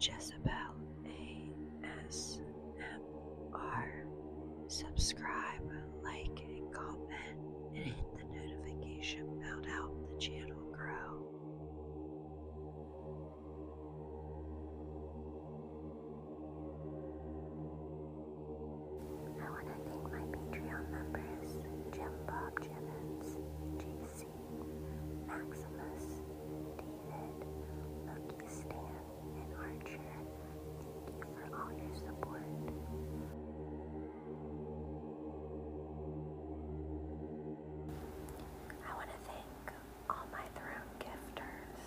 Jezebel ASMR. Subscribe, like, and comment, and hit the notification bell to help the channel grow. I want to thank my Patreon members Jim Bob Jevons, Jason. Maximus, David, Lucky Stan, and Archer, thank you for all your support. I want to thank all my throne gifters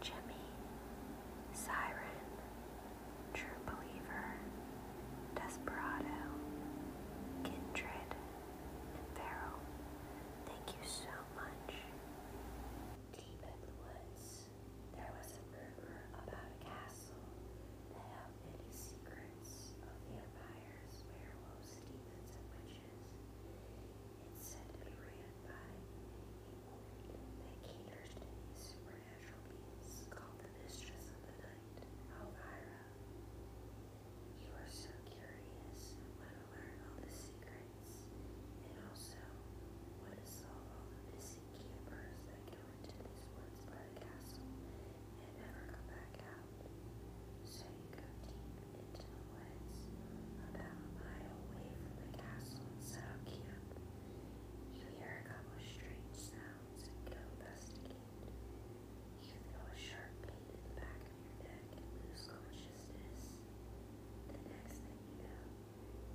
Jimmy, Siren, True Believer, Desperado, Kindred, Beryl, thank you so much. Deep in the woods, there was a rumor about a castle that held many secrets of vampires, werewolves, demons, and It's said to by a woman that to these supernatural beings called the Mistress of the Night, Elvira. You are so curious want to learn all the secrets, and also want to solve all the missing campers that go into these woods by castle and never come back out. So you go deep into the woods, a mile away from the castle, and set up camp. You hear a couple strange sounds and go investigate. You feel a sharp pain in the back of your neck and lose consciousness. The next thing you know,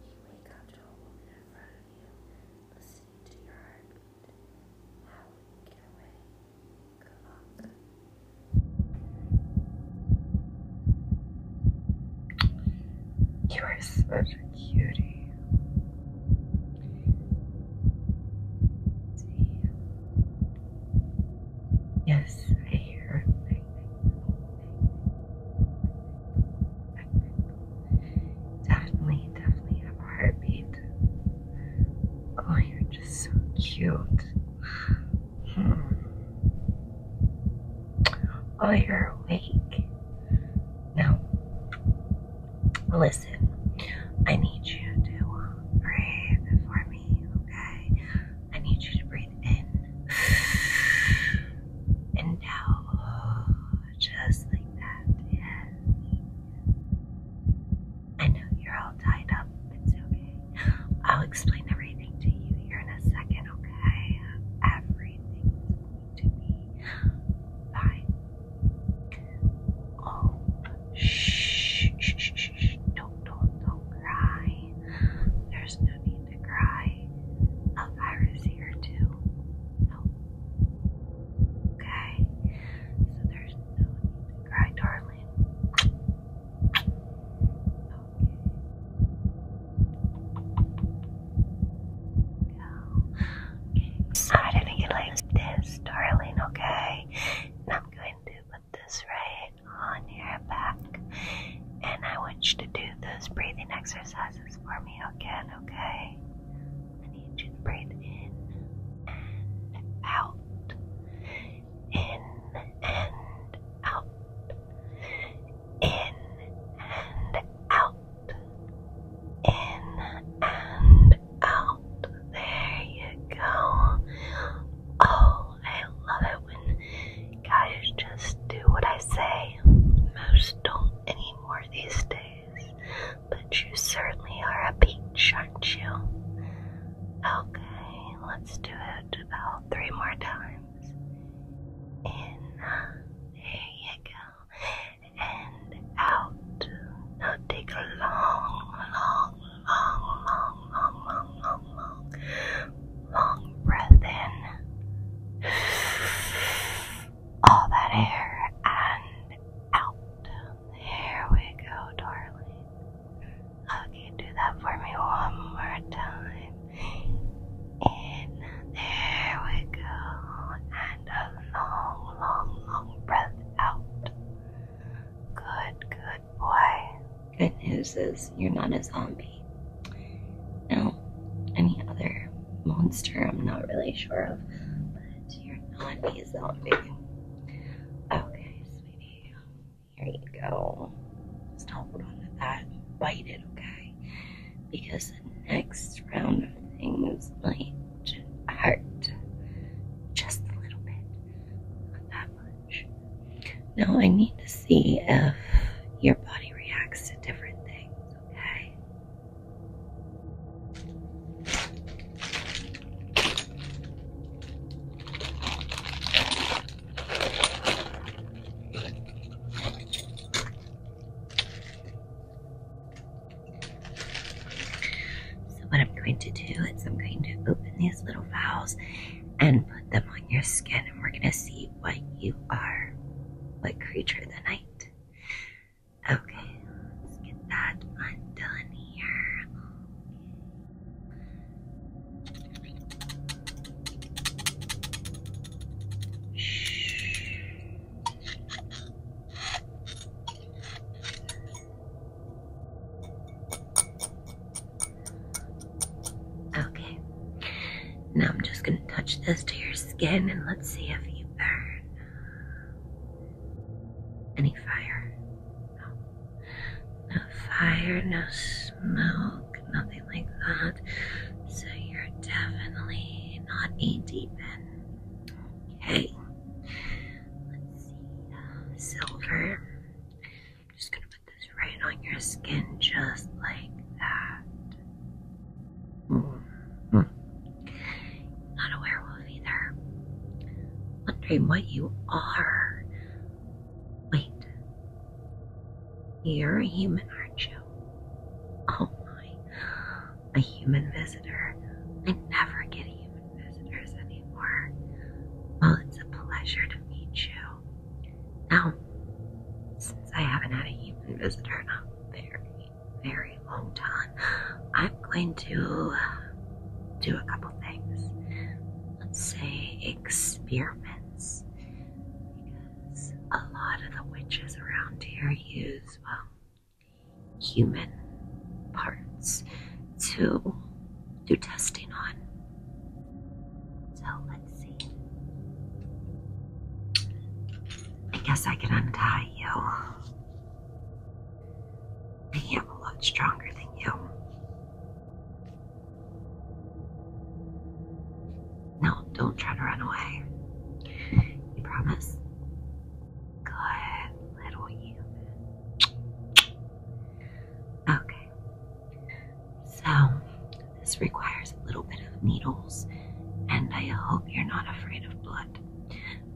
you wake up to a woman in front of you, listening to your heartbeat. How will you get away? Good luck. You are such a cutie. Yes, I hear it. Definitely, definitely have a heartbeat. Oh, you're just so cute. Hmm. Oh, you're awake. Now, Listen, I need you to breathe for me, okay? I need you to breathe in and out, just like that. Yes. I know you're all tied up. It's okay. I'll explain everything to you here in a second, okay? Everything's going to be fine. Oh, shh, shh, shh, shh. Don't, don't, don't cry. There's no need to cry. A virus here too. No. Okay. So there's no need to cry, darling. Okay. I didn't think you like this, darling, okay? I'm going to put this right on your back. And I want you to do those breathing exercises for me again, okay? I need you to breathe in and out. In and out. In and out in and out. There you go. Oh, I love it when guys just do what I say. Most don't anymore these days, but you certainly are a peach, aren't you? Okay, let's do it about three more times. In, there you go and out. Now take a long, long, long, long, long, long, long, long, breath in. All that air and out. There we go, darling. Okay, do that for me one more time. In. There we go a long, long, long breath out. Good, good boy. Good news is you're not a zombie. No, any other monster I'm not really sure of, but you're not a zombie. Okay, sweetie. Here you go. Just hold on to that. Bite it, okay? Because the next round of things might hurt just a little bit, not that much. Now I need to see if your body reacts to different things, okay? So what I'm going to do is I'm going to open these little valves and put them on your skin and we're gonna see what you are, what creature of the night. Okay, let's get that undone here. Shh. Okay. Now I'm just going to touch this to your skin and let's see if you burn. Any fire? No. No fire, no smoke, nothing like that. So you're definitely do not eat demon. Okay. Let's see. Uh, silver. just gonna put this right on your skin, just like that. Hmm. Mm. Not a werewolf either. Wondering what you are. Wait. You're a human, aren't you? Oh my, a human visitor. I never get human visitors anymore. Well, it's a pleasure to meet you. Now, since I haven't had a human visitor in a very, very long time, I'm going to uh, do a couple things. Let's say experiments a lot of the witches around here use well um, human parts to do testing on. So let's see. I guess I can untie you. I am a lot stronger than you. No, don't try to run away. You promise? Good little human. Okay. So, this requires a little bit of needles, and I hope you're not afraid of blood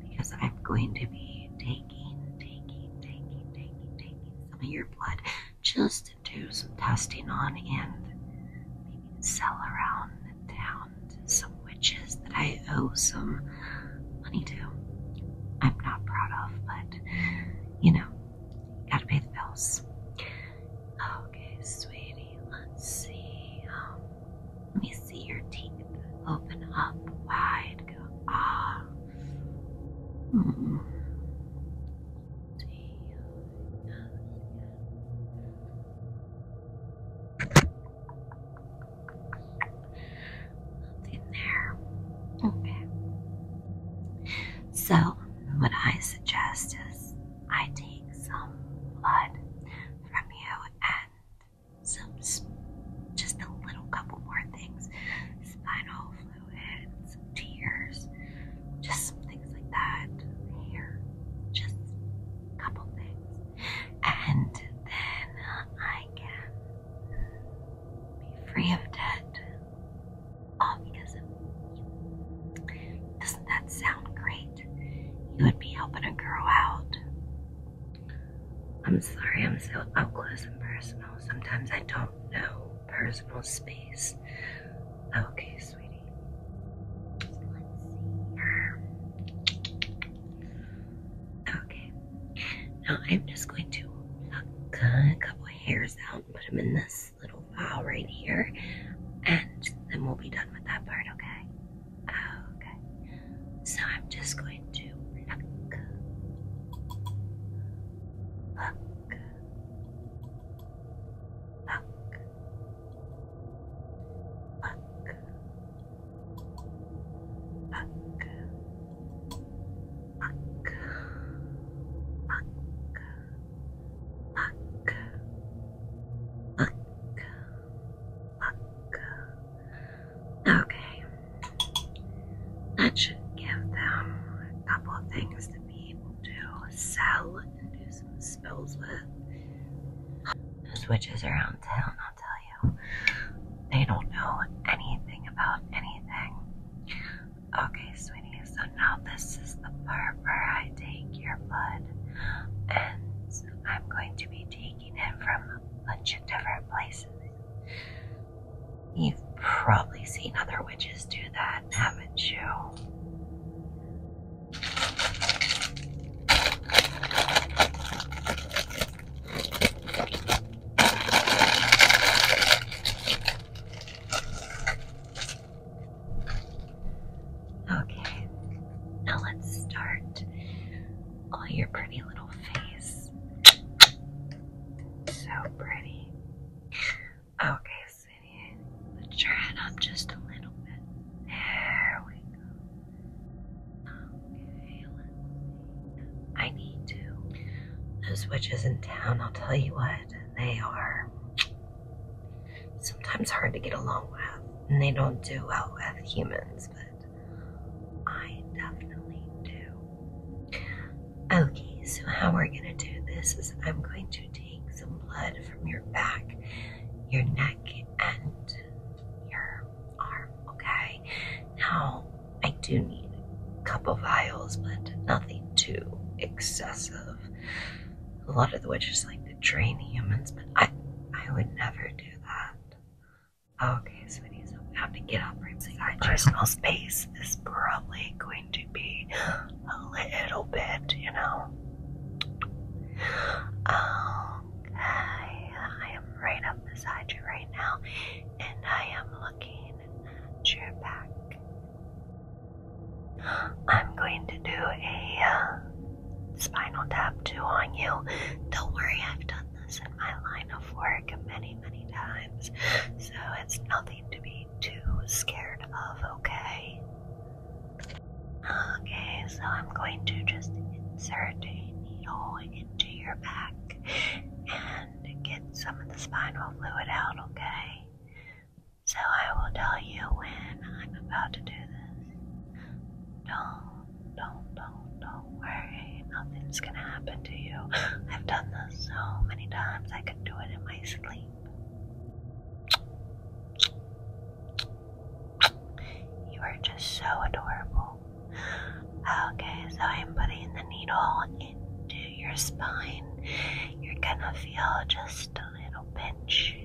because I'm going to be taking, taking, taking, taking, taking some of your blood just do some testing on and maybe sell around the town to some witches that I owe some money to. I'm not proud of, but you know, gotta pay the bills. Okay, sweetie, let's see. Um, let me see your teeth open up wide. Go ah. Nothing there. Okay. So, what I suggest is I take some blood from you and some, just a little couple more things spinal fluids some tears, just some things like that. Here, just a couple things, and then I can be free of debt. All because of you. Doesn't that sound great? You would be helping a girl out. I'm sorry, I'm so up close and personal. Sometimes I don't know personal space. Okay, sweetie. Okay. Now I'm just going to cut a couple hairs out and put them in this little vial right here. And then we'll be done with that part, okay? Okay. So I'm just going to pluck. pluck. Okay. That should give them a couple of things to be able to sell and do some spells with. Those witches around town, I'll tell you, they don't know anything about anything. Okay, sweetie, so now this is the part where I take your blood and I'm going to be taking it from a bunch of different places. You've probably seen other witches do that, haven't you? Okay, now let's start. Oh, your pretty little face. So pretty. Okay, but turn up just a little bit. There we go. Okay, I need to. Those witches in town, I'll tell you what, they are sometimes hard to get along with, and they don't do well with humans, but I definitely do. Okay, so how we're going to do this is I'm going to take some blood from your back, your neck, and your arm. Okay, now I do need a couple vials, but nothing too excessive. A lot of the witches like to drain humans, but I, I would never do that. Okay, so we need to get up right so our personal space is probably going to be a little bit, you know. Okay, um, I am right up beside you right now, and I am looking at your back. I'm going to do a uh, spinal tap too on you. Don't worry, I've done this in my line of work many, many times, so it's nothing to be too scared of, okay? Okay, so I'm going to just insert a needle into your back and get some of the spinal fluid out, okay? So I will tell you when I'm about to do this. Don't, don't, don't, don't worry. Nothing's gonna happen to you. I've done this so many times I could do it in my sleep. You are just so adorable. Okay, so I'm putting the needle into your spine. You're gonna feel just a little pinch.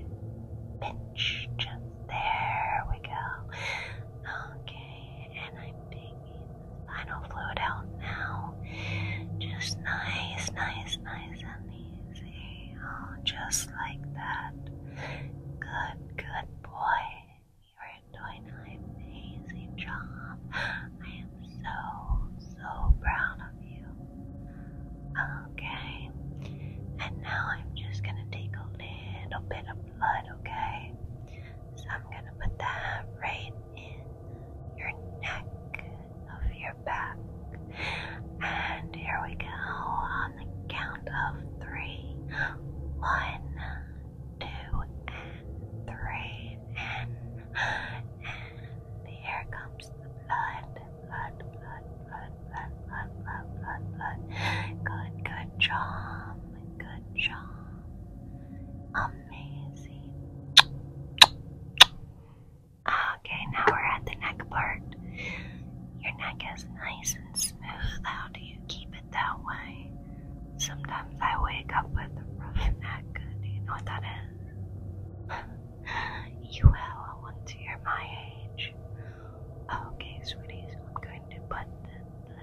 Pinch. Just there we go. Okay, and I'm taking final fluid out now. Just nice, nice, nice and easy. Oh, just like that. Good, good boy. You are doing an amazing job. I am so, so proud of you. Okay. And now I'm just gonna take a little bit of blood, okay? So I'm gonna put that right in your neck, of your back. And here we go on the count of three. One, two, and three. And, and here comes the blood. Blood, blood, blood, blood, blood, blood, blood, blood. Good, good job. Good job. Um, Okay, now we're at the neck part. Your neck is nice and smooth. How do you keep it that way? Sometimes I wake up with a rough neck. Do you know what that is? you will once you're my age. Okay, sweeties, I'm going to put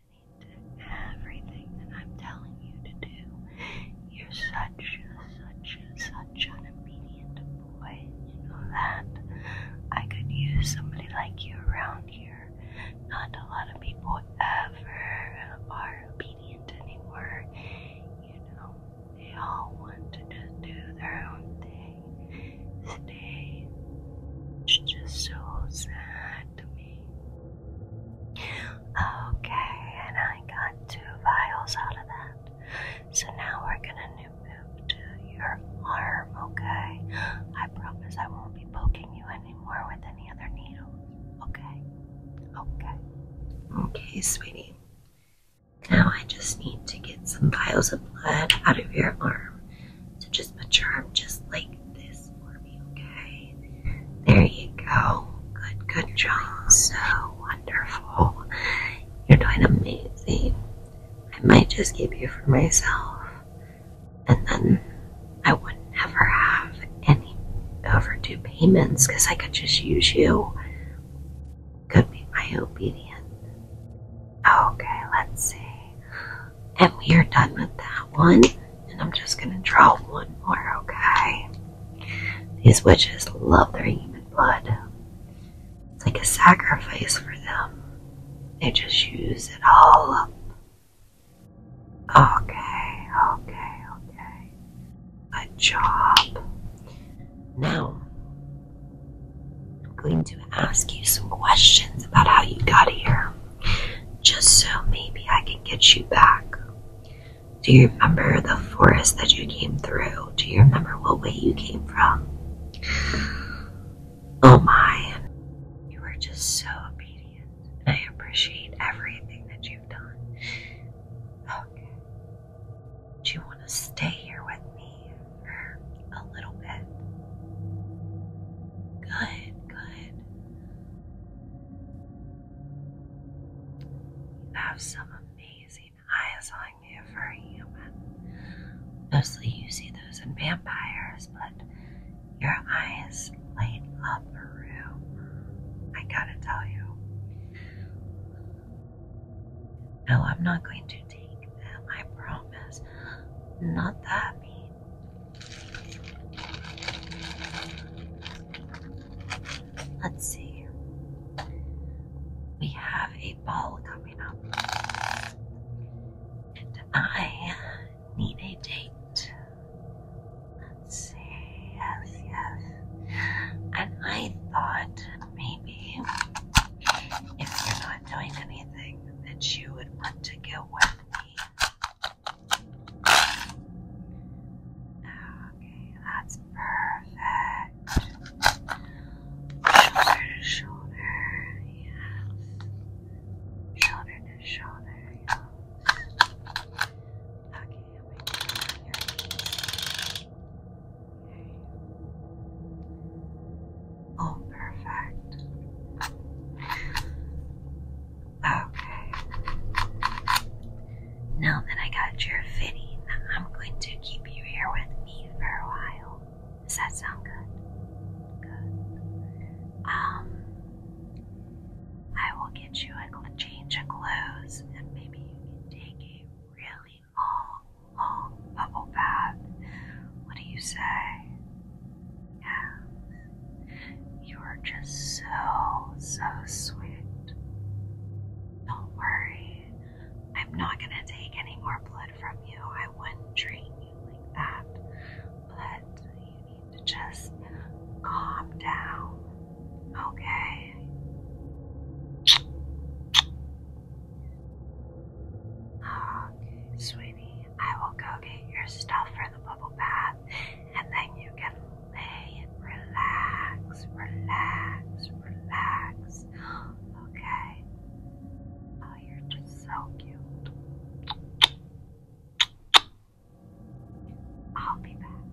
listening to everything that I'm telling you to do. You're such, such, such an obedient boy. You know that. I could use somebody like you around here. Not a lot of people ever are obedient anymore. You know, they all want to just do their own thing. Stay. It's just so sad Okay, and I got two vials out of that. So now we're gonna move to your arm, okay? I promise I won't be poking you anymore with any other needles, okay? Okay. Okay, sweetie. Now I just need to get some vials of blood out of your arm so just mature, your arm just like this for me, okay? There you go. Good, good job. So wonderful. You're doing amazing. I might just keep you for myself. And then I would not ever have any overdue payments because I could just use you. Could be my obedient. Okay, let's see. And we are done with that one. And I'm just going to draw one more, okay? These witches love their human blood. It's like a sacrifice for them. They just use it all up. Okay, okay, okay. Good job. Now, I'm going to ask you some questions about how you got here, just so maybe I can get you back. Do you remember the forest that you came through? Do you remember what way you came from? Oh my, you were just so obedient, I appreciate everything that you've done. Okay. Do you want to stay here with me for a little bit? Good, good. You have some amazing eyes on you for a human. Mostly you see those in vampires, but your eyes light up a room. I gotta tell you. No, I'm not going to take them, I promise. Not that mean. Let's see. We have a ball coming up. And I need a date. Let's see. Yes, yes. And I thought maybe if you're not not doing anything that you would want to go with me. Okay, that's perfect. Shoulder to shoulder, yes. Shoulder to shoulder, yes. Okay, I'm going your Oh, perfect. Okay. Now that I got your fitting, I'm going to keep you here with me for a while. Does that sound good? Good. Um, I will get you a change of clothes, and maybe you can take a really long long bubble bath. What do you say? Yes, you are just so, so sweet. Don't worry, I'm not going to take any more blood from you. I wouldn't treat you like that. But you need to just calm down, okay? Oh, okay, sweetie, I will go get your stuff for the bubble bath, and then you can lay and relax, relax, relax. Okay. Oh, you're just so cute. I'll be back.